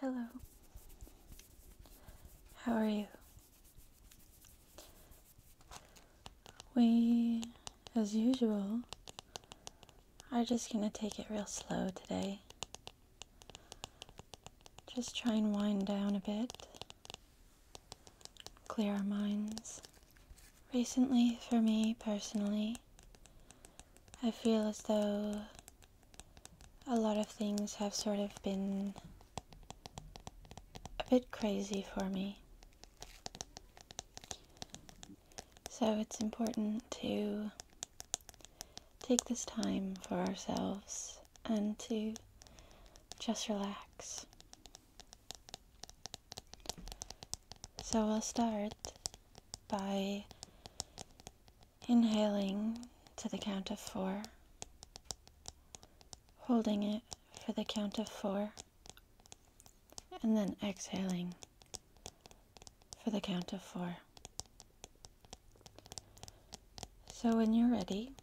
Hello. How are you? We, as usual, are just going to take it real slow today. Just try and wind down a bit, clear our minds. Recently, for me personally, I feel as though a lot of things have sort of been a bit crazy for me. So it's important to take this time for ourselves and to just relax. So we will start by Inhaling to the count of four, holding it for the count of four, and then exhaling for the count of four. So when you're ready,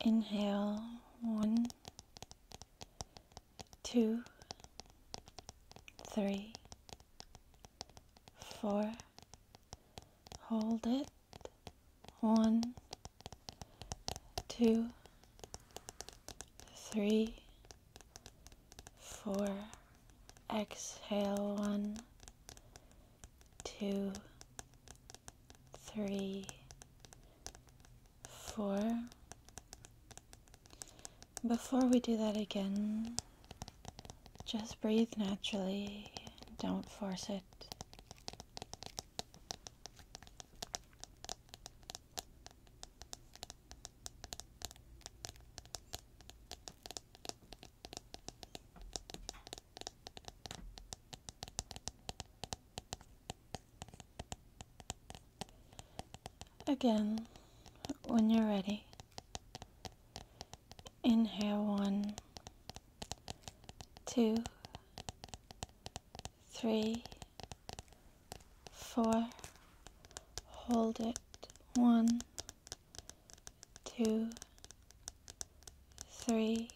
inhale one, two, three, four, hold it, One. Two. Three. Four. exhale, One. Two. Three. Four. Before we do that again, just breathe naturally. Don't force it. Again, when you're ready. Inhale one, two, three, four. Hold it. One, two, three,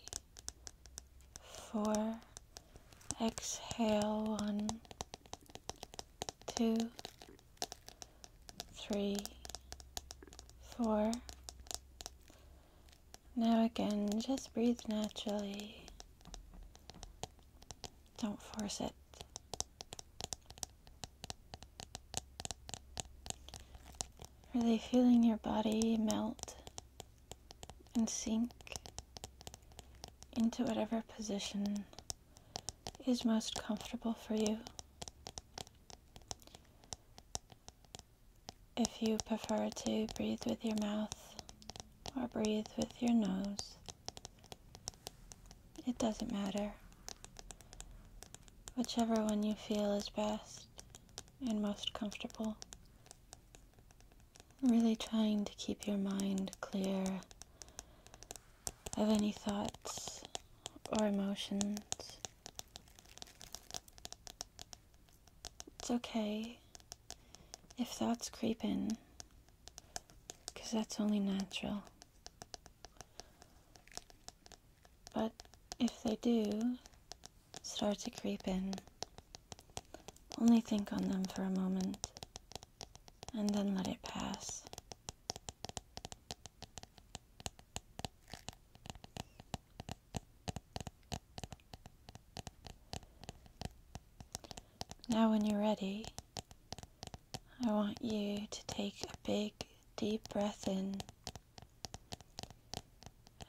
four. Exhale one, two, three, four. Now again, just breathe naturally. Don't force it. Really feeling your body melt and sink into whatever position is most comfortable for you. If you prefer to breathe with your mouth or breathe with your nose, it doesn't matter. Whichever one you feel is best and most comfortable. Really trying to keep your mind clear of any thoughts or emotions. It's okay if thoughts creep in, because that's only natural. But if they do start to creep in, only think on them for a moment and then let it pass. Now, when you're ready, I want you to take a big, deep breath in,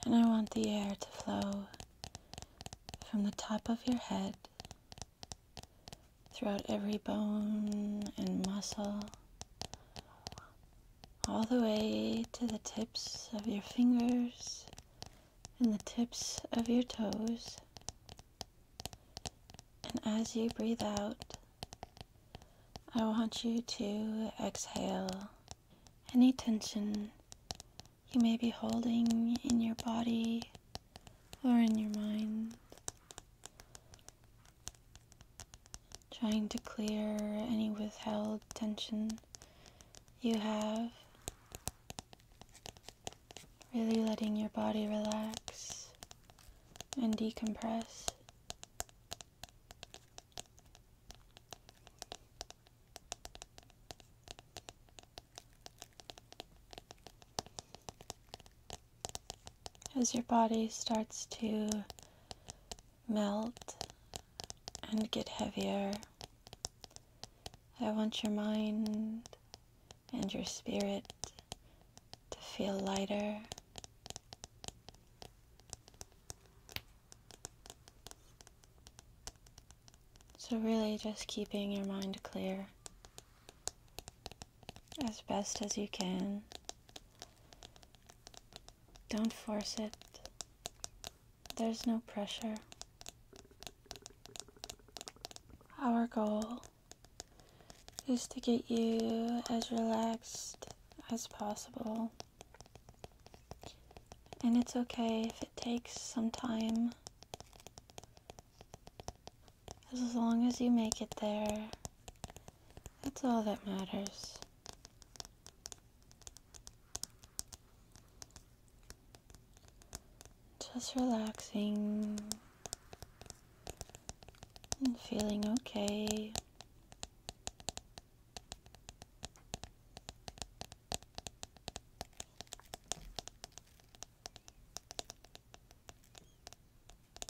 and I want the air to flow from the top of your head throughout every bone and muscle, all the way to the tips of your fingers and the tips of your toes. And as you breathe out, I want you to exhale any tension you may be holding in your body or in your mind trying to clear any withheld tension you have. Really letting your body relax and decompress as your body starts to melt and get heavier. I want your mind and your spirit to feel lighter. So, really, just keeping your mind clear as best as you can. Don't force it. There's no pressure. Our goal is to get you as relaxed as possible. And it's okay if it takes some time. As long as you make it there, that's all that matters. Just relaxing and feeling okay.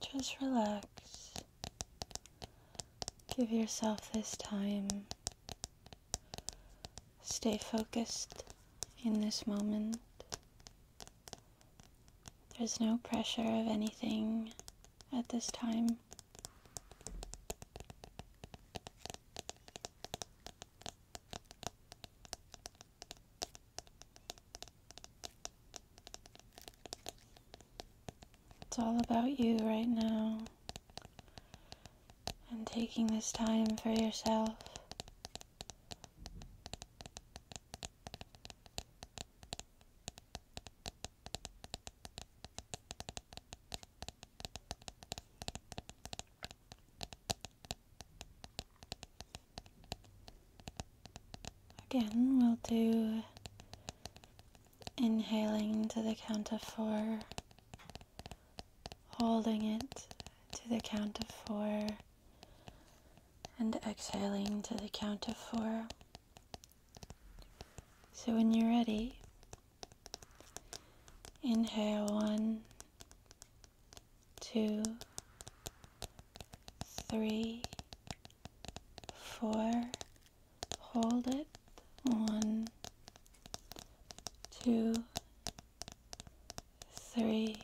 Just relax. Give yourself this time. Stay focused in this moment. There's no pressure of anything at this time. It's all about you right now and taking this time for yourself. Again, we'll do inhaling to the count of four, holding it to the count of four, and exhaling to the count of four. So when you're ready, inhale one, two, three, four. Hold it. One, two, three,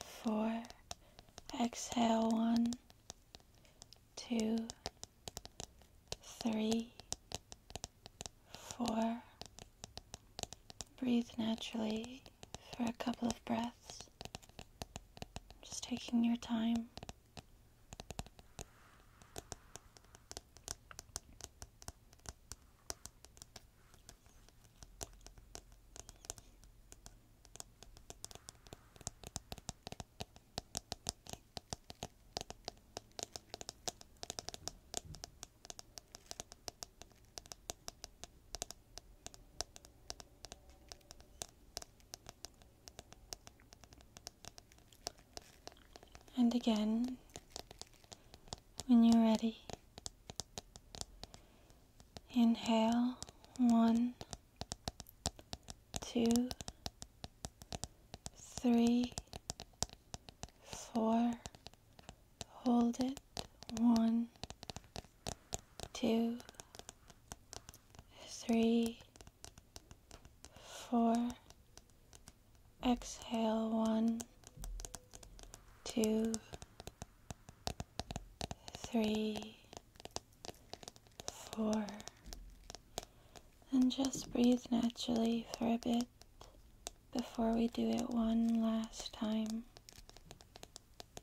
four. Exhale. One, two, three, four breathe naturally for a couple of breaths, just taking your time. And again, when you're ready, inhale one, two, three, four, hold it one, two, three, four. Exhale one, two, three, four. And just breathe naturally for a bit before we do it one last time.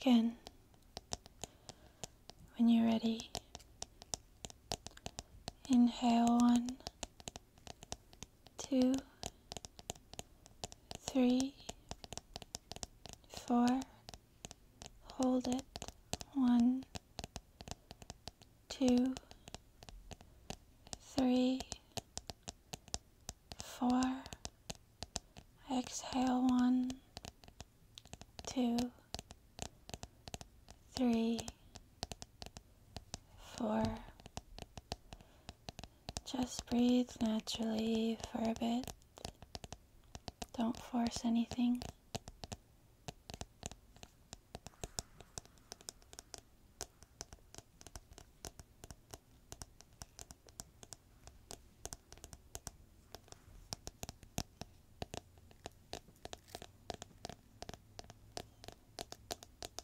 Again, when you're ready, inhale one, two, three, four. Hold it. One, two, three, four. Exhale one, two, three, four. Just breathe naturally for a bit. Don't force anything.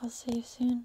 I'll see you soon.